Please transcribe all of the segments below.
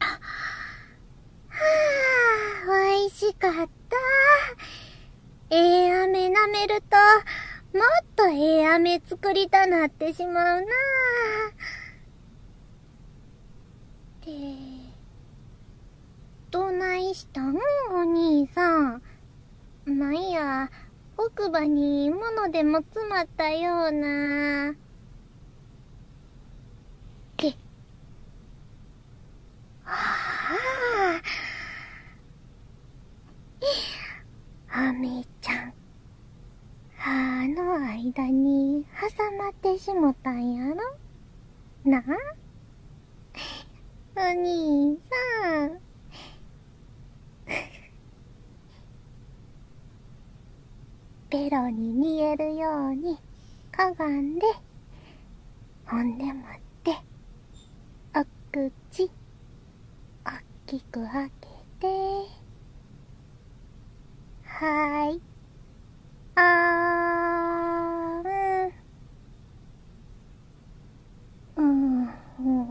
ああ、しかった。ええー、飴舐めると、もっとええー、飴作りたなってしまうなって、どないしたんお兄さん。なんや奥歯に物でも詰まったようなけああアメちゃん歯の間に挟まってしもたんやろなあお兄さん ベロに見えるようにかがんでほんでもっておくち。おっきくあけてはいあーんうんうん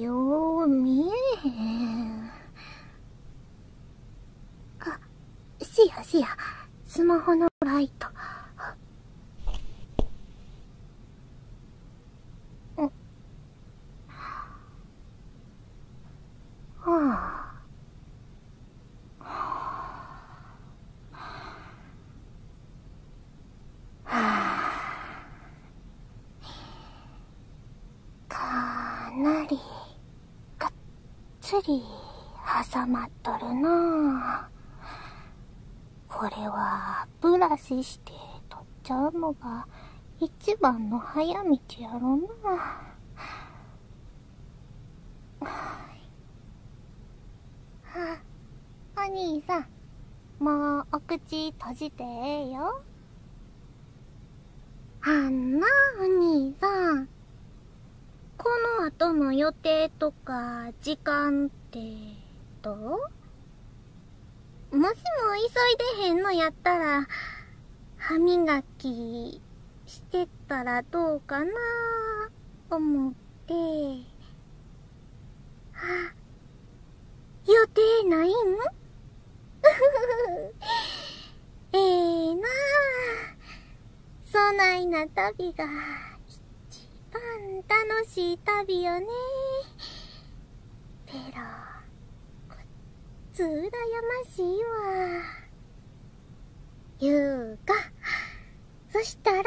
よう見えへん。あ、シアシア、スマホのライト。はかなりがっつり、挟まっとるなこれはブラシして取っちゃうのが一番の早道やろなあ、お兄さんもうお口閉じてええよあんなお兄さんこの後の予定とか。と時間ってどもしも急いでへんのやったら、歯磨きしてったらどうかな思って、あ、予定ないん ええなあ。そないな旅が一番楽しい旅よねてロこっつうらやましいわゆうかそしたら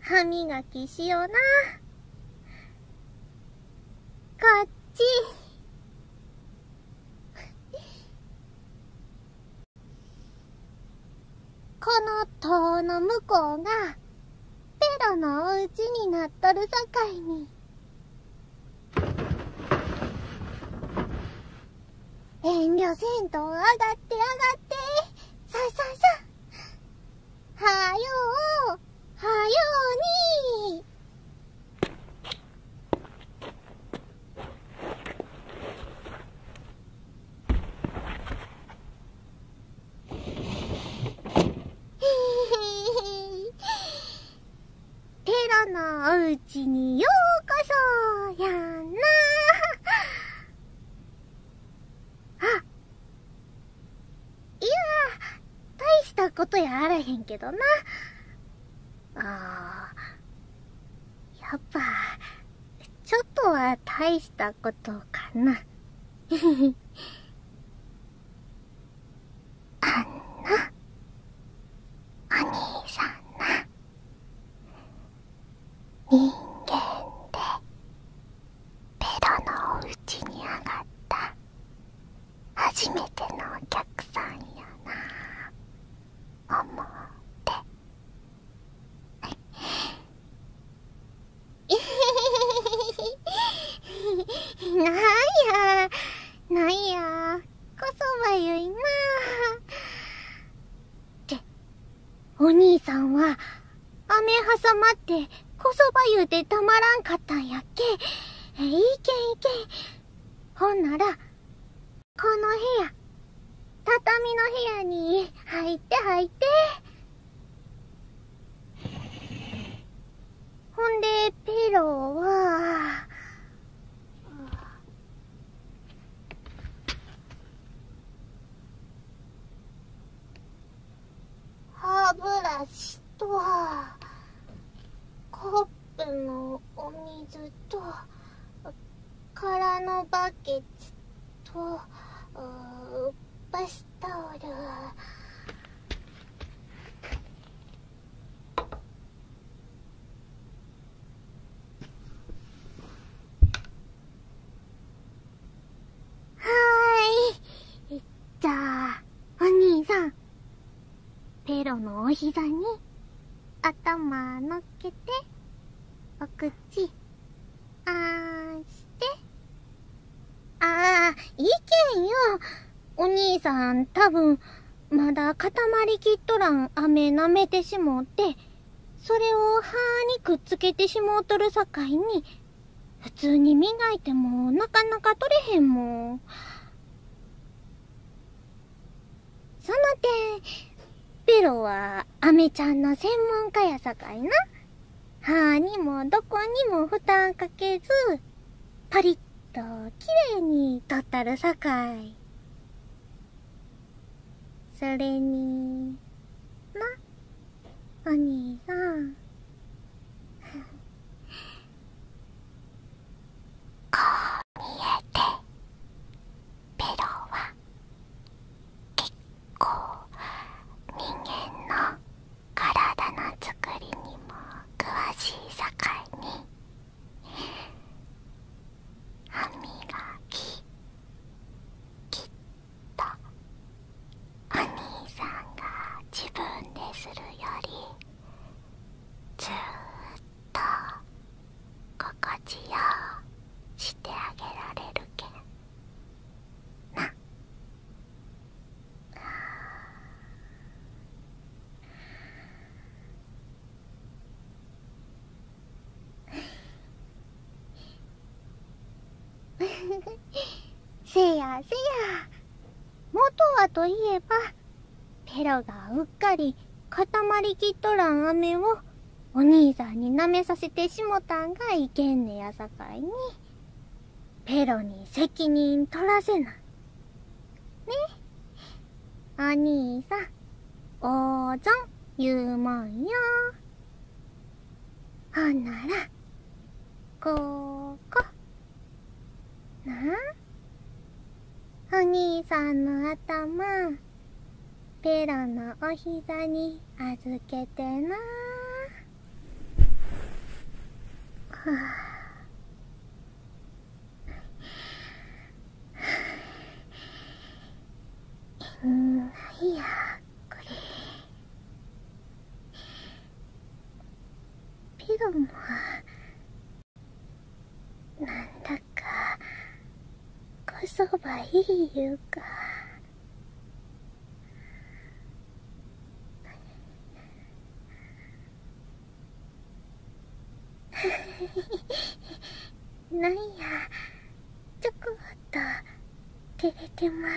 歯磨きしようなこっちこの塔の向こうが、ペロのおうちになっとるさかいに。遠慮せんと上がって上がって。さささはよう、はように。テロのおうちにようこそやなあいや大したことやあらへんけどなああやっぱちょっとは大したことかな。あんな、お兄さんな、人間で、ベロのおうちに上がった、初めてのお客さんやな、思って。なんや、なんや、こそばゆいなって、お兄さんは、雨挟まって、こそばゆうてたまらんかったんやっけ。いけんいけん。ほんなら、この部屋、畳の部屋に入って入って。ほんで、ペロは、歯ブラシと、コップのお水と、空のバケツとバスタオルはいじゃあお兄さんペロのお膝に頭のっけてお口あーしてああいけんよお兄さん多分まだ固まりきっとらん飴舐めてしもうてそれを歯にくっつけてしもうとるさかいに普通に磨いてもなかなか取れへんもん。その点、ベロは、アメちゃんの専門家やさかいな。歯にもどこにも負担かけず、パリッと綺麗に取ったるさかい。それに、な、お兄さん。こう見えて、ベロは、結構人間の体のつくりにも詳しい境に歯磨ききっとお兄さんが自分でするよりずっと。心地よ。してあげられるけんな せやせや元はといえばペロがうっかり固まりきっとらん飴をお兄さんに舐めさせてしもたんがいけんねやさかいに、ペロに責任取らせな。い。ねお兄さん、おーぞん言うもんよ。ほんなら、ここ。なあお兄さんの頭、ペロのお膝に預けてなはあうんないやこれピロもなんだかこそばいいゆうかフ なんやちょこっと照れてま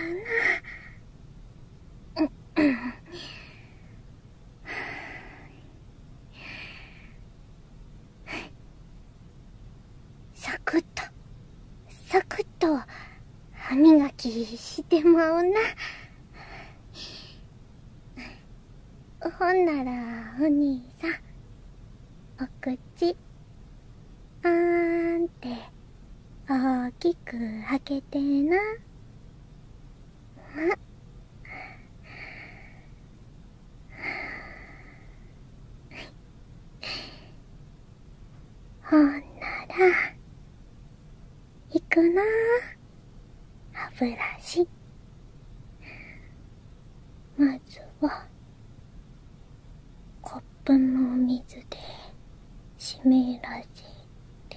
うな サクッとサクッと歯磨きしてまうなほんならお兄さんお口あんって大きく開けてな。まほんならいくな歯ブラシまずはコップのお水で湿らせて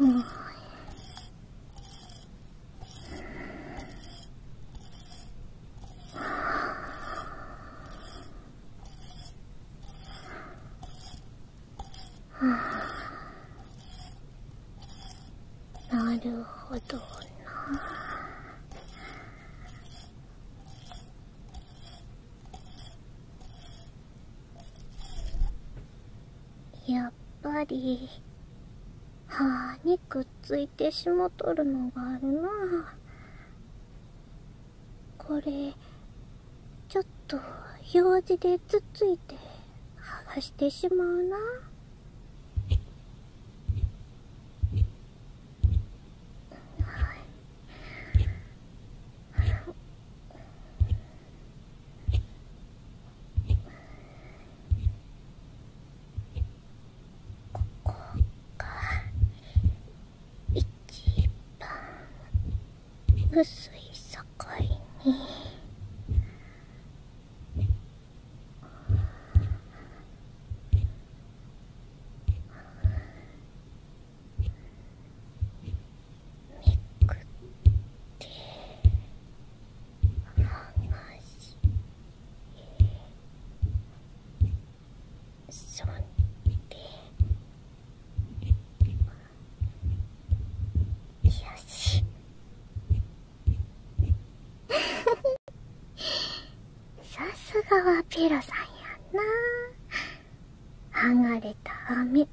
うんなるほどなやっぱり歯にくっついてしもとるのがあるなこれちょっと用事でつっついてはがしてしまうな。ここが一番薄い境にくって話そんでよしさすがはペロさんやんな剥がれた飴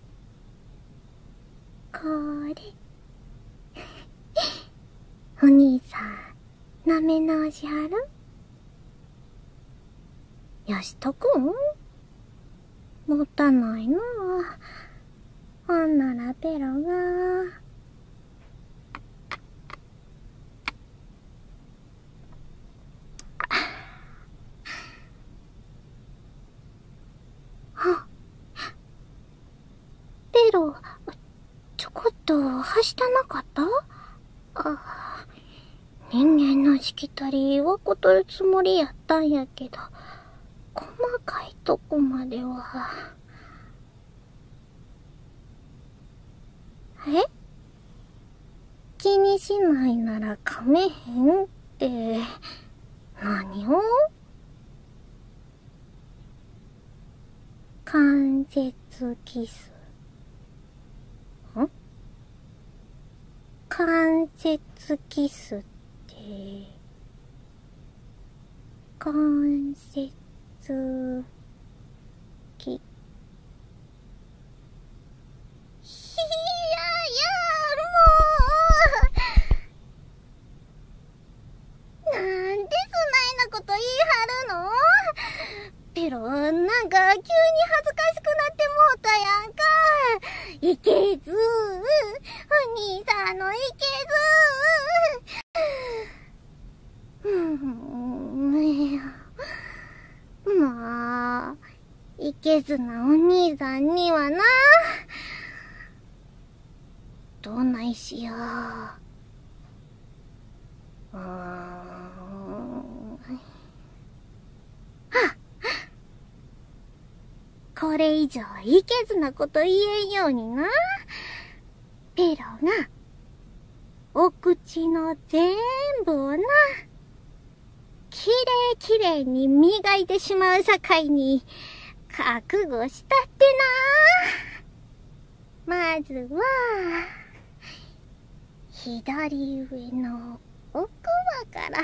これ お兄さんなめ直しはるよしとくんもったないなほんならペロが。あ。ペロ、ちょこっとはしたなかったあ人間のしきたりはことるつもりやったんやけど、細かいとこまでは。え気にしないならかめへんって何を関節キスん関節キスって関節キやや、いいペロなんか急に恥ずかしくなってもうたやんかいけずお兄さんのいけずふうんまあいけずなお兄さんにはなどないしよううっこれ以上いけずなこと言えんようになペロがお口の全部をなきれいきれいに磨いてしまうさかいに、覚悟したってなまずは、左上の奥歯から、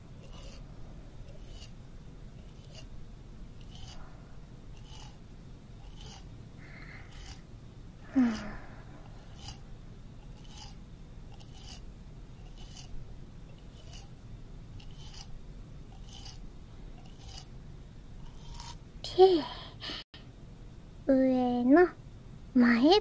う ん上の前歯。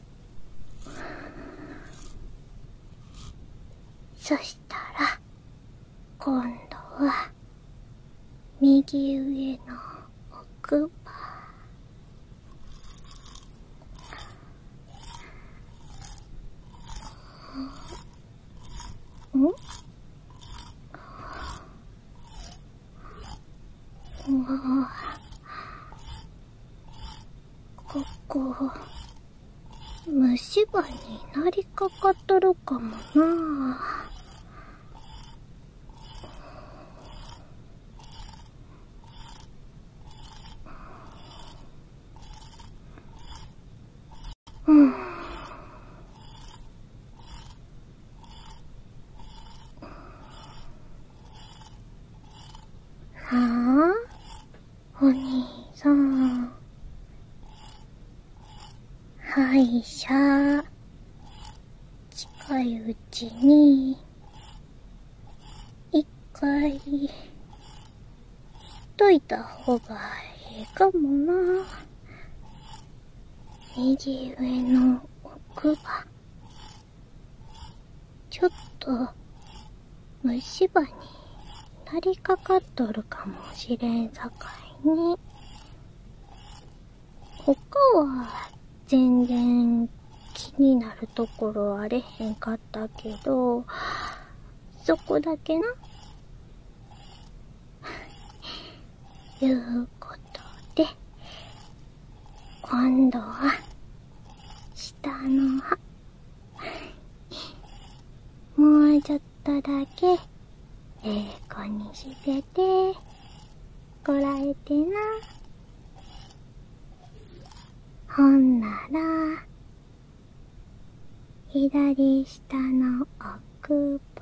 そしたら今度は右上の奥歯んうわここ、虫歯になりかかっとるかもなうん。はあお兄さん歯医者近いうちに一回といた方がいいかもな右上の奥が。ちょっと虫歯になりかかっとるかもしれんさかいに他は全然気になるところあれへんかったけどそこだけな いうことで今度は下の歯もうちょっとだけええ子にしててこらえてなほんなら左下の奥歯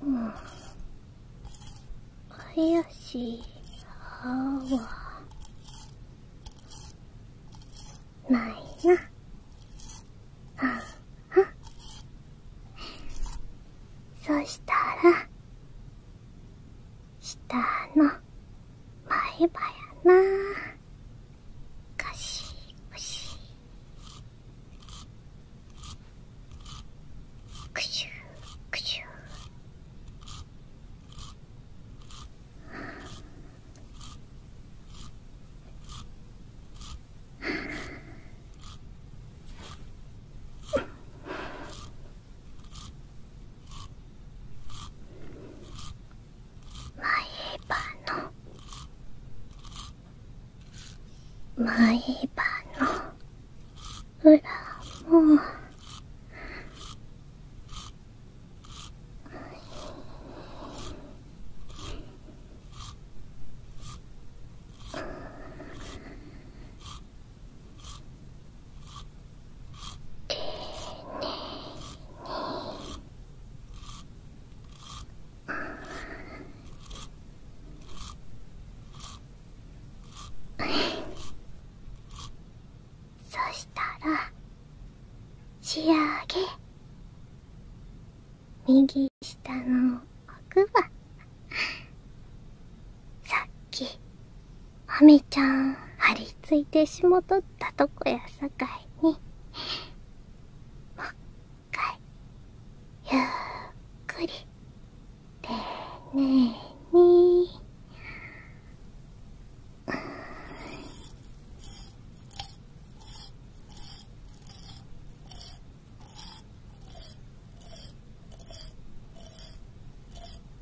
うんあやし、歯はないなああそしたらしたの前歯やなかしくしくしゅくしゅ前歯の前歯の裏もそしたら仕上げ右下の奥はさっきアメちゃん張り付いてしもとったとこやさかいにもっかいゆっくり丁寧に。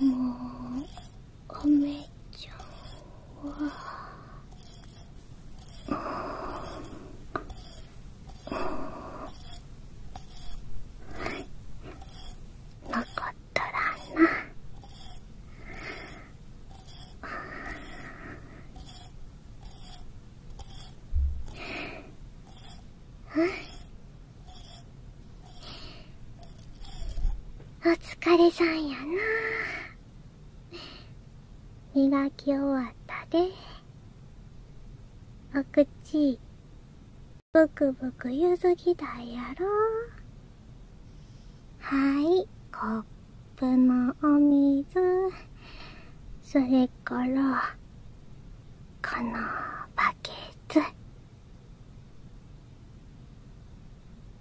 もうお姉ちゃんはううん。ん。残っとらんなうん、お疲れさんやな磨き終わったでお口ブクブクゆずぎだいやろはいコップのお水それから。からこのバケツ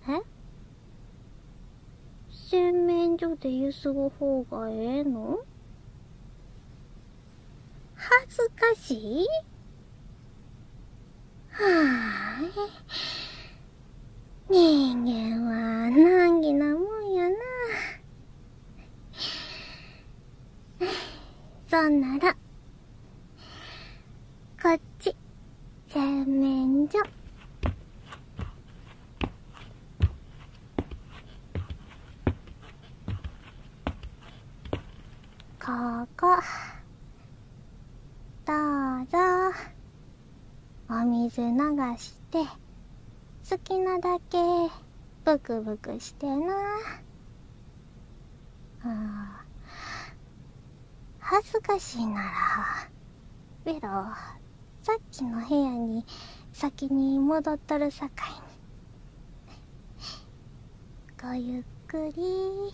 え洗面所でゆすぐ方がええの恥ずかしいはーい人間は難儀なもんやなそんならこっち洗面所ここどうぞ。お水流して好きなだけブクブクしてなあ恥ずかしいならベロさっきの部屋に先に戻っとるさかいにごゆっくり。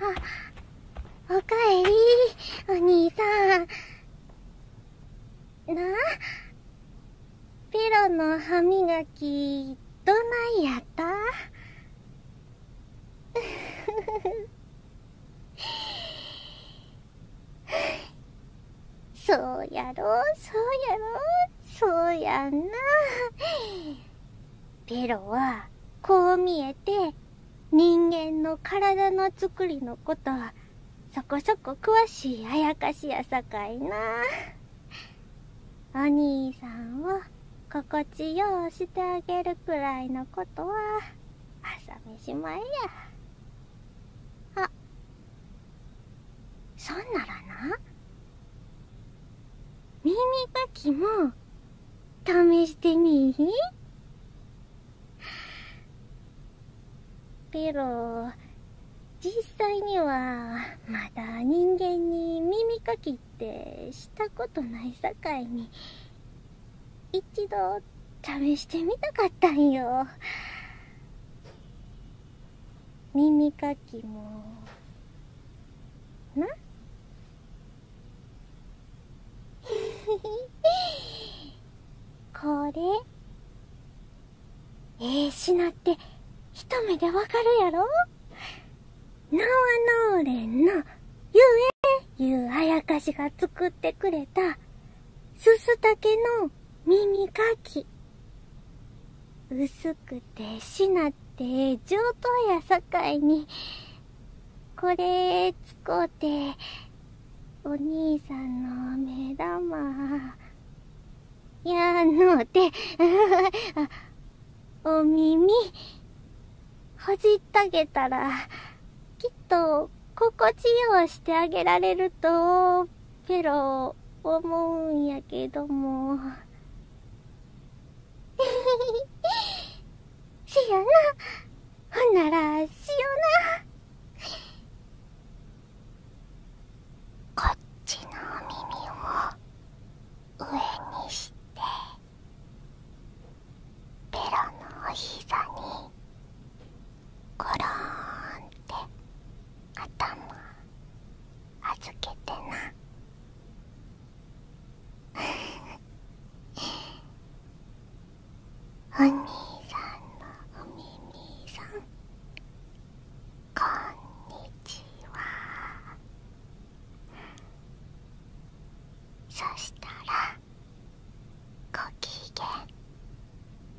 あ、おかえり、お兄さん。なあ、ペロの歯磨き、どないやった そうやろ、そうやろ、そうやんな。ペロは、こう見えて、人間の体の作りのことは、そこそこ詳しいあやかしやさかいな。お兄さんを心地ようしてあげるくらいのことは、朝飯前や。あ、そんならな、耳かきも試してみペロ実際にはまだ人間に耳かきってしたことないさかいに一度試してみたかったんよ耳かきもな これええー、品って一目でわかるやろナワノーレンのゆえゆうあやかしが作ってくれたすすたけの耳かきくてなって上等やさかいにこれ使うてお兄さんの目玉やのうて お耳ほじったげたらきっと心地ようしてあげられるとペロ思うんやけども。しよなほんならしよなこっちのお耳を上にしてベロのお膝にごろーンって頭預けてな。お兄さんのお耳さんこんにちはそしたらご機嫌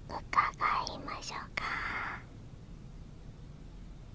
伺いましょうか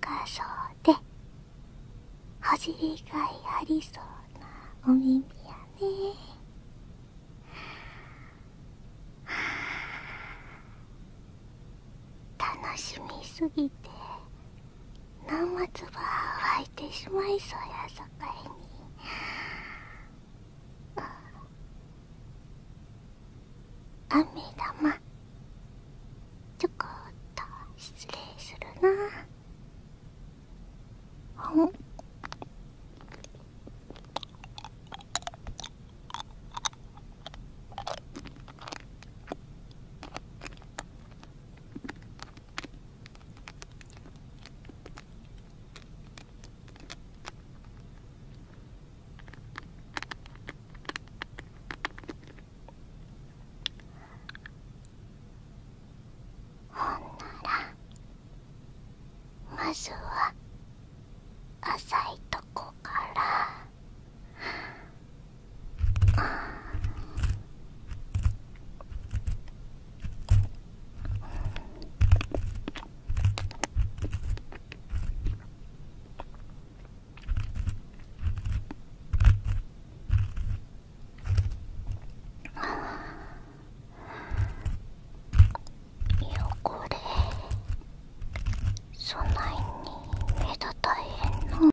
深そうでほじりがいありそうなお耳やね楽しみすぎて生唾湧いてしまいそうやさかいに。雨玉ちょこっと失礼するなほんほんならまずは浅いとこからあこれそないに目立たへんの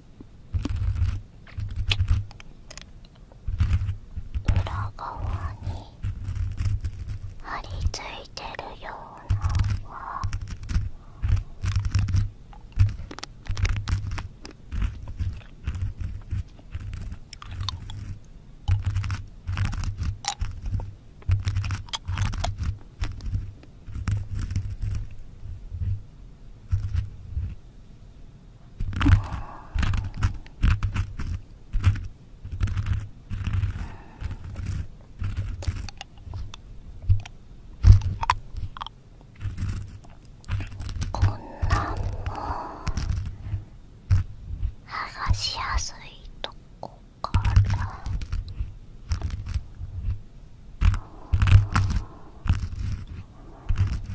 裏側に張り付いてるようなのはこんなんも剥がしやすいとこから。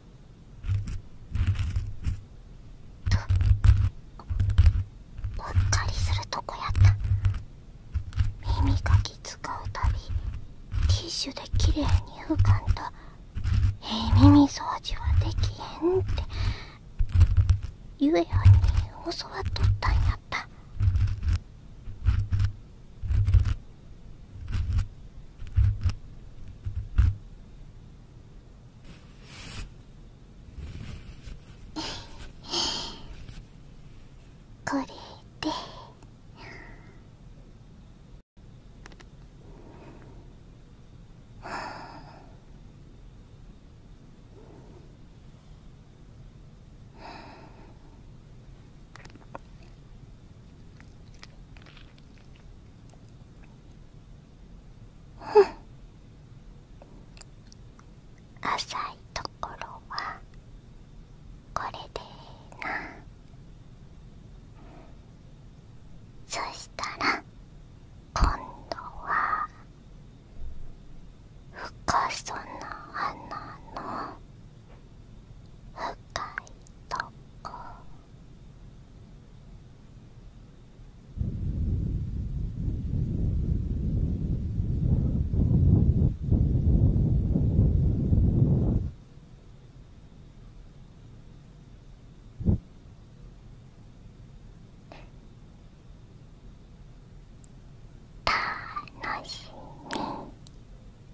とうっかりするとこやった耳かき使うたびティッシュできれいに浮かんとええ耳掃除はできへんってゆえやに教わっとったんやったこれでうん浅いところはこれでいいなそしたら今度は深さな穴の深いとこたのしみ。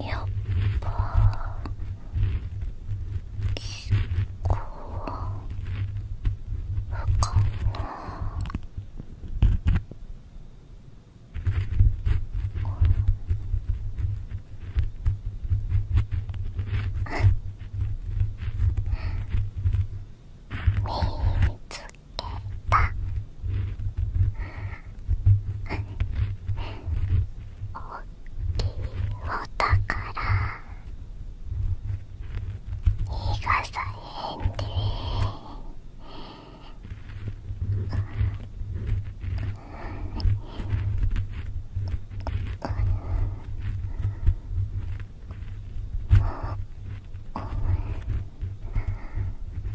やっぱ結こ、不可な見つた。おら。逃がさへんでお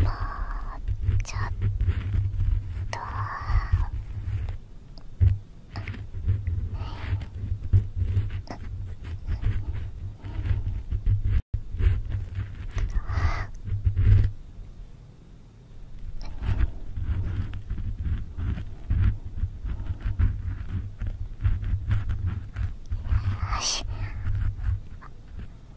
もうちょっとよし。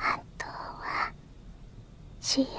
あとは仕上げて。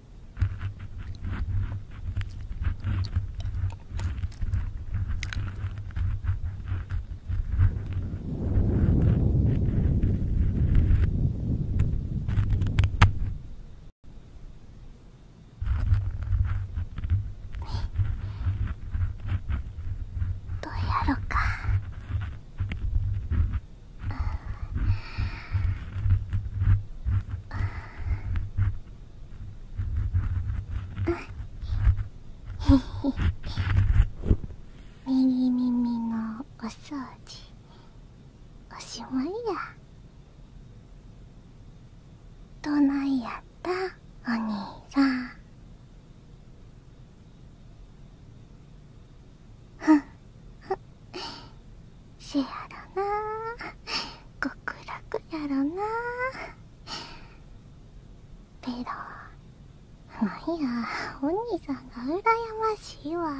どうやろか右 耳のお掃除おしまいやどないやったお兄さんふんふんせやろな極楽やろなペロなんやお兄さんがうらやましいわ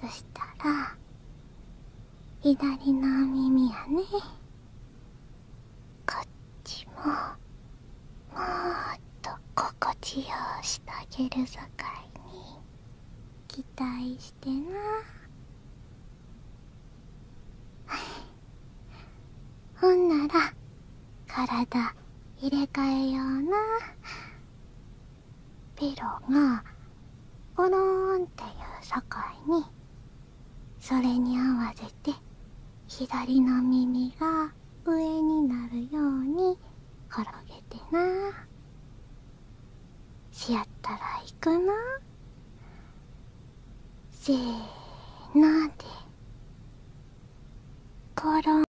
そしたら左の耳やねこっちももっと心地よしてあげるさかいに。期待してな ほんなら体入れ替えようなピロがゴロンっていう境にそれに合わせて左の耳が上になるようにころげてなしやったらいくなせーのでころん